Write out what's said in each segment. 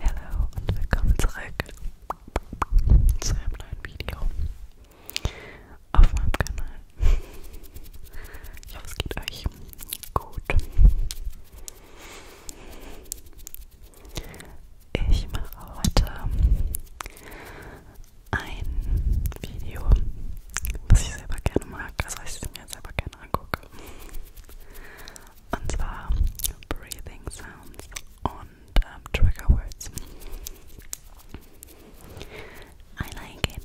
Hallo und willkommen zurück zu einem neuen Video auf meinem Kanal. Ich hoffe, es geht euch gut. Ich mache heute ein Video, was ich selber gerne mag, also was ich mir selber gerne angucke. Und zwar Breathing Sounds und ähm, Trigger Words. I like it.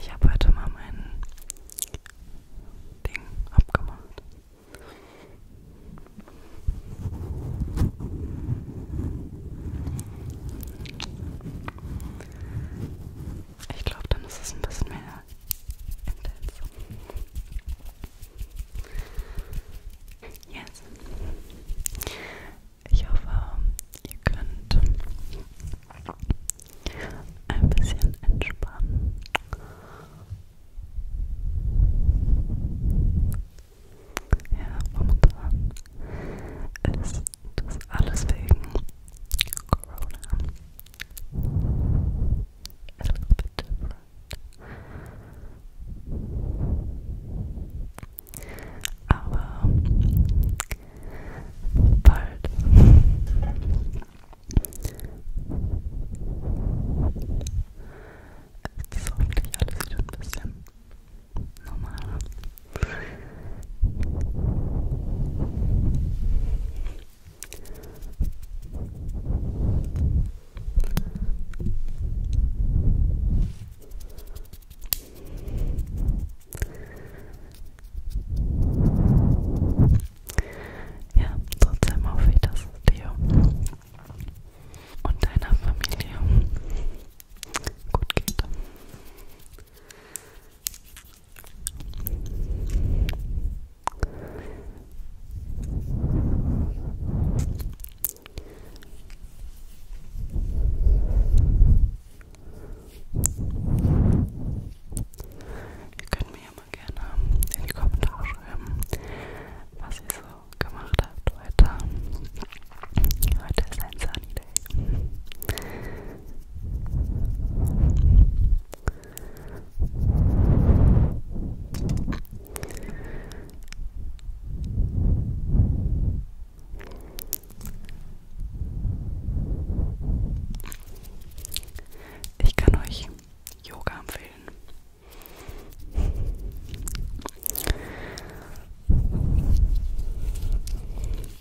Ich habe heute mal mein Ding abgemacht. Ich glaube, dann ist es ein bisschen mehr intens. Yes. Ich hoffe, ihr könnt ein bisschen entspannen. Ja, momentan ist das ist alles wegen Corona. A little bit different. Aber bald. Jetzt ist hoffentlich alles wieder ein bisschen normaler. Ja, trotzdem hoffe ich, dass es dir und deiner Familie gut geht. Ihr könnt mir ja mal gerne in die Kommentare schreiben, was ihr so gemacht habt heute. Heute ist ein Sunny Day. Ich kann euch Yoga empfehlen.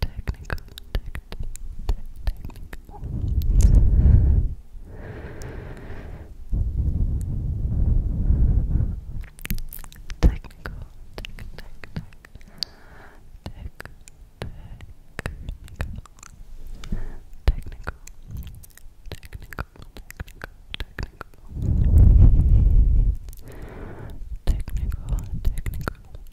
technical, tech, tech, technical. technical, tech, tech, tech, tech, technical, technical, technical, technical, technical, technical. Technical, technical,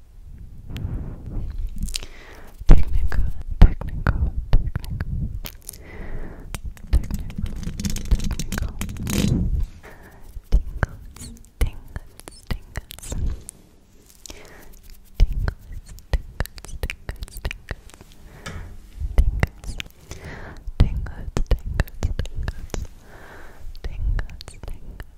Technical, technical, technical, technical, technical. Tingles, tingles, tingles. Tingles, tingles, tingles, tingles. Tingles, tingles, tingles.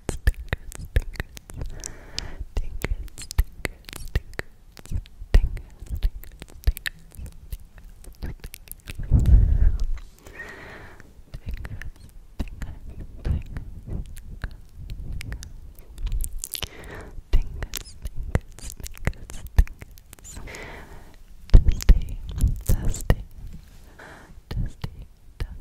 Dusty, dusty, dusty, dusty,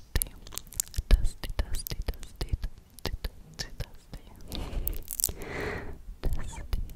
dusty, dusty, dusty, dusty, dusty, dusty, dusty, dusty, dusty, dusty, dusty, dusty, dusty, dusty, dusty, dusty, dusty.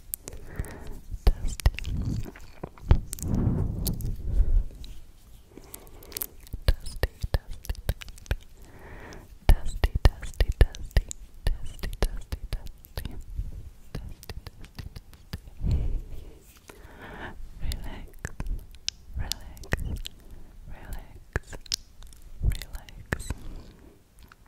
Dusty. Dusty, dusty, dusty, dusty, dusty, dusty, dusty, dusty, dusty, dusty, dusty, dusty. Relax, relax, relax, relax,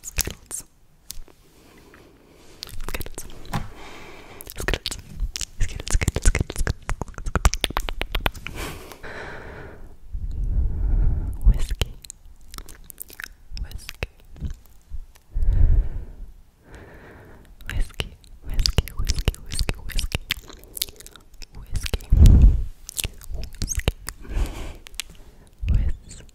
Skittles. Skittles. Skittles. Skittles. Skittles. Skittles. Whiskey. Whiskey. Whiskey. Whiskey. Whiskey. Whiskey. Whiskey. Whiskey. Whiskey. Whiskey.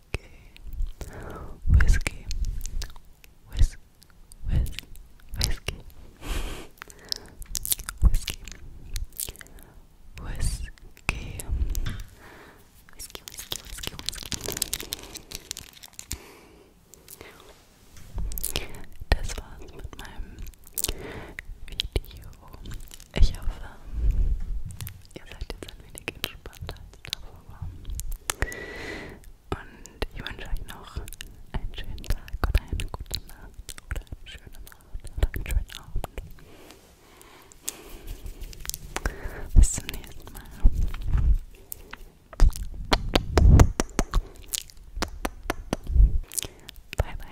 Whiskey, Whis, Whis, Whiskey, Whiskey, Whiskey, Whiskey, Whiskey, Whiskey, Whiskey. Das war's mit meinem Video. Ich hoffe, ihr seid jetzt ein wenig entspannter als davor. Und ich wünsche euch noch einen schönen Tag oder eine gute Nacht oder eine schöne Nacht oder einen schönen Abend. Bis zum nächsten Mal. Bye bye.